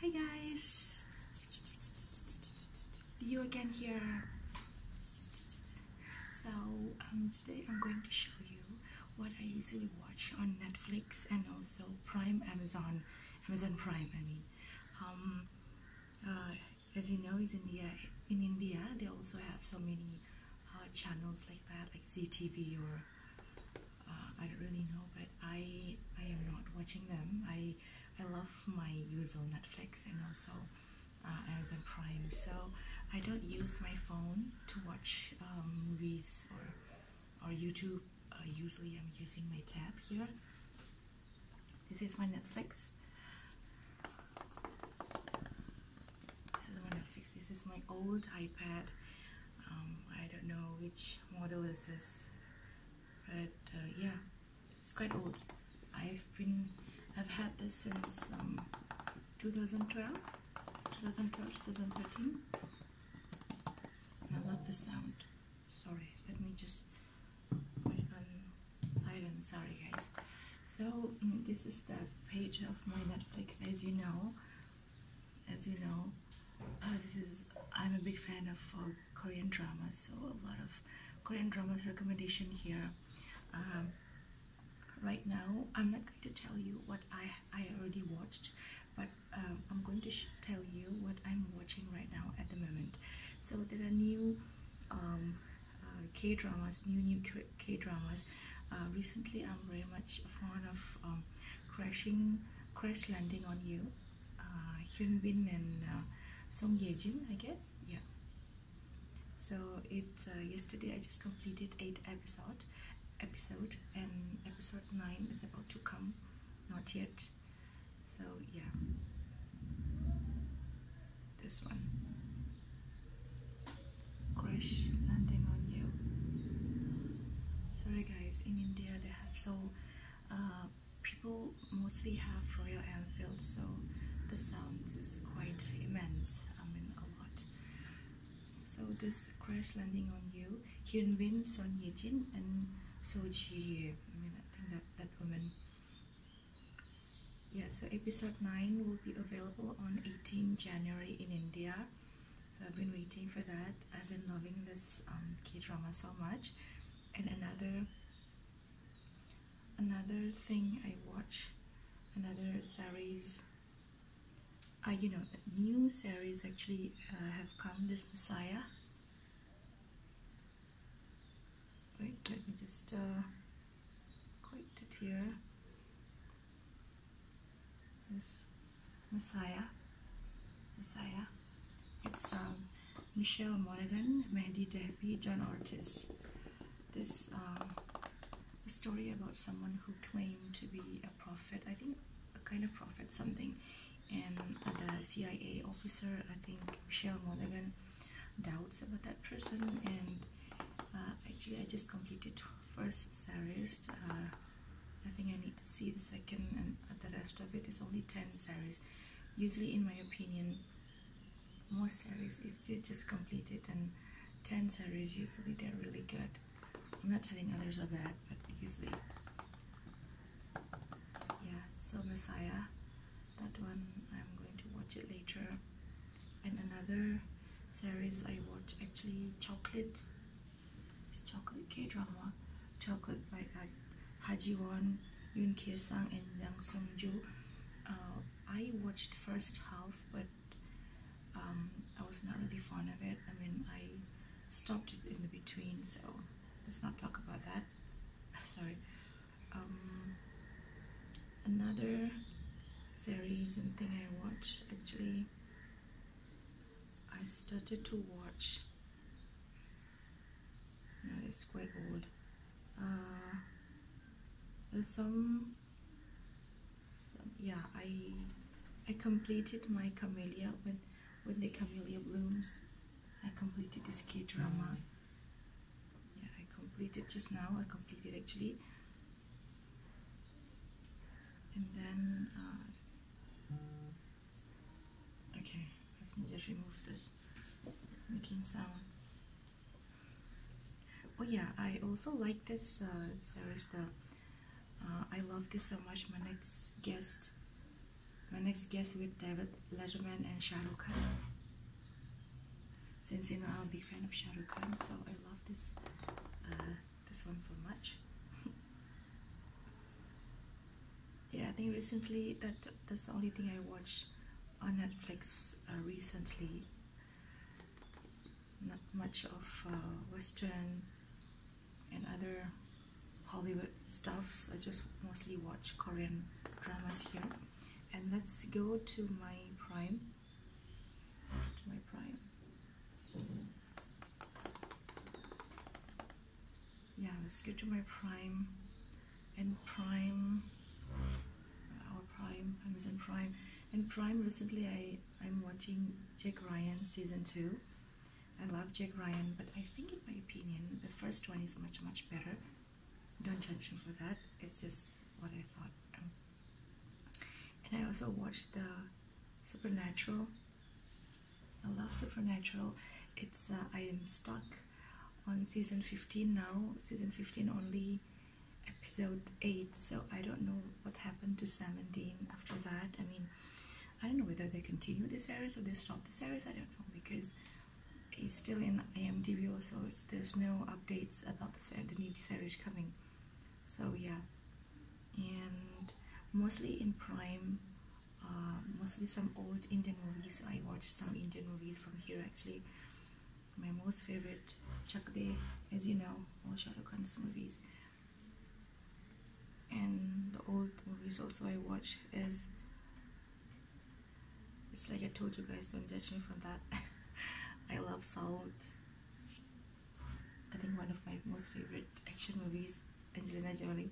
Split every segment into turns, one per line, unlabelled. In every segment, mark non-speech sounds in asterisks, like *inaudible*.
Hi guys! You again here. So um, today I'm going to show you what I usually watch on Netflix and also Prime Amazon, Amazon Prime I mean. Um, uh, as you know, in India. In India, they also have so many uh, channels like that, like ZTV or uh, I don't really know but I I am not watching them I I love my usual Netflix and also uh, Amazon Prime so I don't use my phone to watch um, movies or or YouTube uh, usually I'm using my tab here this is my Netflix this is my Netflix this is my old iPad um, I don't know which model is this but uh, yeah it's quite old I've been I've had this since um, 2012 2012 2013 I love the sound sorry let me just Silence. sorry guys so mm, this is the page of my Netflix as you know as you know uh, this is i'm a big fan of uh, korean dramas so a lot of korean dramas recommendation here um, right now i'm not going to tell you what i i already watched but um, i'm going to tell you what i'm watching right now at the moment so there are new um, uh, k dramas new new k, dramas recently i'm very much fond of crashing, crash landing on you. Uh, Hyun Bin and uh, Song Ye Jin, I guess. Yeah. So it uh, yesterday I just completed eight episode, episode, and episode nine is about to come, not yet. So yeah, this one. Crash landing on you. Sorry guys, in India there so uh, people mostly have Royal Enfield, so the sound is quite immense. I mean, a lot. So this crash landing on you, Hyun Bin, Son Ye Jin, and So Ji. I mean, I think that that woman. Yeah. So episode nine will be available on 18 January in India. So I've been waiting for that. I've been loving this um, K-drama so much. And another another thing I watch, another series, uh, you know, new series actually uh, have come, this Messiah. Wait, let me just uh, click it here. This Messiah. Messiah. It's um, Michelle Monaghan, Mandy Delpy, John Artist. This um, a story about someone who claimed to be a prophet. I think a kind of prophet, something. And the CIA officer, I think Michelle Monaghan, doubts about that person. And uh, actually, I just completed first series. Uh, I think I need to see the second and the rest of it. it is only 10 series. Usually in my opinion, more series if they just complete it and 10 series usually they're really good. I'm not telling others are bad, but usually. Yeah, so Messiah, that one I'm going to watch it later. And another series I watch actually Chocolate it's chocolate K drama, chocolate by Ha Won, Yoon Kye Sang, and Yang Sung Joo. Uh, I watched the first half, but um, I was not really fond of it. I mean, I stopped it in the between, so let's not talk about that. *laughs* Sorry. Um, another series and thing I watched actually I started to watch. No, it's quite old. Uh, some, yeah. I I completed my camellia when when the camellia blooms. I completed this K drama. Mm. Yeah, I completed just now. I completed actually, and then. Uh, Okay, let me just remove this. It's making sound. Oh yeah, I also like this uh, Sarista. Uh, I love this so much. My next guest, my next guest with David Letterman and Shah Khan. Since you know I'm a big fan of Shah Khan, so I love this uh, this one so much. *laughs* yeah, I think recently that that's the only thing I watch on Netflix uh, recently. Not much of uh, Western and other Hollywood stuffs. I just mostly watch Korean dramas here. And let's go to my Prime. To my Prime yeah let's get to my prime and prime our prime amazon prime and prime recently i i'm watching jack ryan season two i love jack ryan but i think in my opinion the first one is much much better don't judge me for that it's just what i thought and i also watched the supernatural I love Supernatural. It's uh, I am stuck on season 15 now, season 15 only episode 8, so I don't know what happened to Sam and Dean after that. I mean, I don't know whether they continue this series or they stop this series, I don't know because it's still in IMDb So there's no updates about the new series coming. So yeah, and mostly in Prime, uh, mostly some old Indian movies. I watch some Indian movies from here actually. My most favorite, Chak De, as you know, all Shah Khan's movies. And the old movies also I watch is, it's like I told you guys, don't judge me for that. *laughs* I love salt I think one of my most favorite action movies, Angelina Jolie,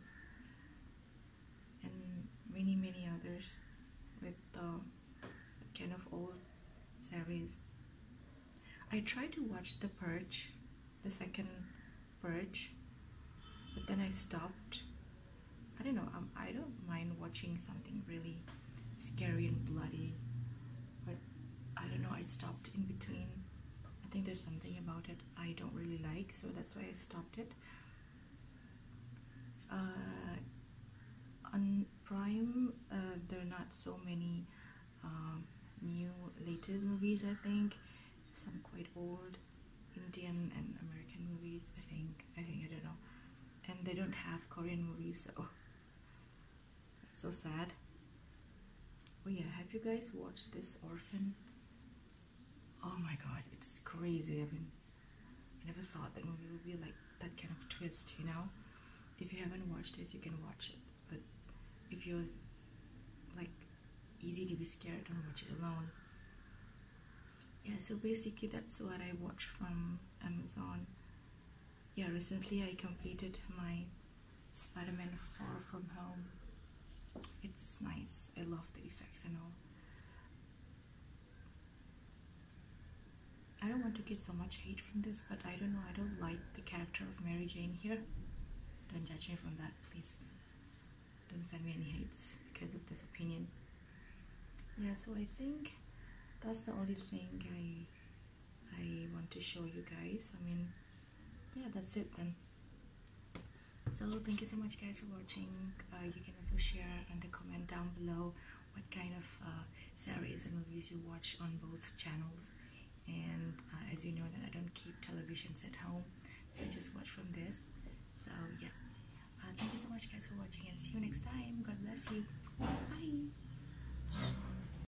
and many many others with the um, kind of old series. I tried to watch The Purge, the second Purge, but then I stopped. I don't know. Um, I don't mind watching something really scary and bloody, but I don't know. I stopped in between I think there's something about it I don't really like, so that's why I stopped it. on uh, Prime, uh, there are not so many um, new latest movies, I think. Some quite old Indian and American movies, I think. I think, I don't know. And they don't have Korean movies, so *laughs* That's so sad. Oh yeah, have you guys watched this orphan? Oh my god, it's crazy. I mean, I never thought that movie would be like that kind of twist, you know? If you haven't watched it, you can watch it. But if you're like easy to be scared, don't watch it alone. Yeah, so basically that's what I watch from Amazon yeah, recently I completed my Spider-Man 4 from home. It's nice. I love the effects and all. I don't want to get so much hate from this, but I don't know. I don't like the character of Mary Jane here. Don't judge me from that, please. Don't send me any hates because of this opinion. Yeah, so I think that's the only thing I I want to show you guys I mean yeah that's it then so thank you so much guys for watching uh, you can also share and comment down below what kind of uh, series and movies you watch on both channels and uh, as you know that I don't keep televisions at home so I just watch from this so yeah thank you so much guys for watching and see you next time god bless you bye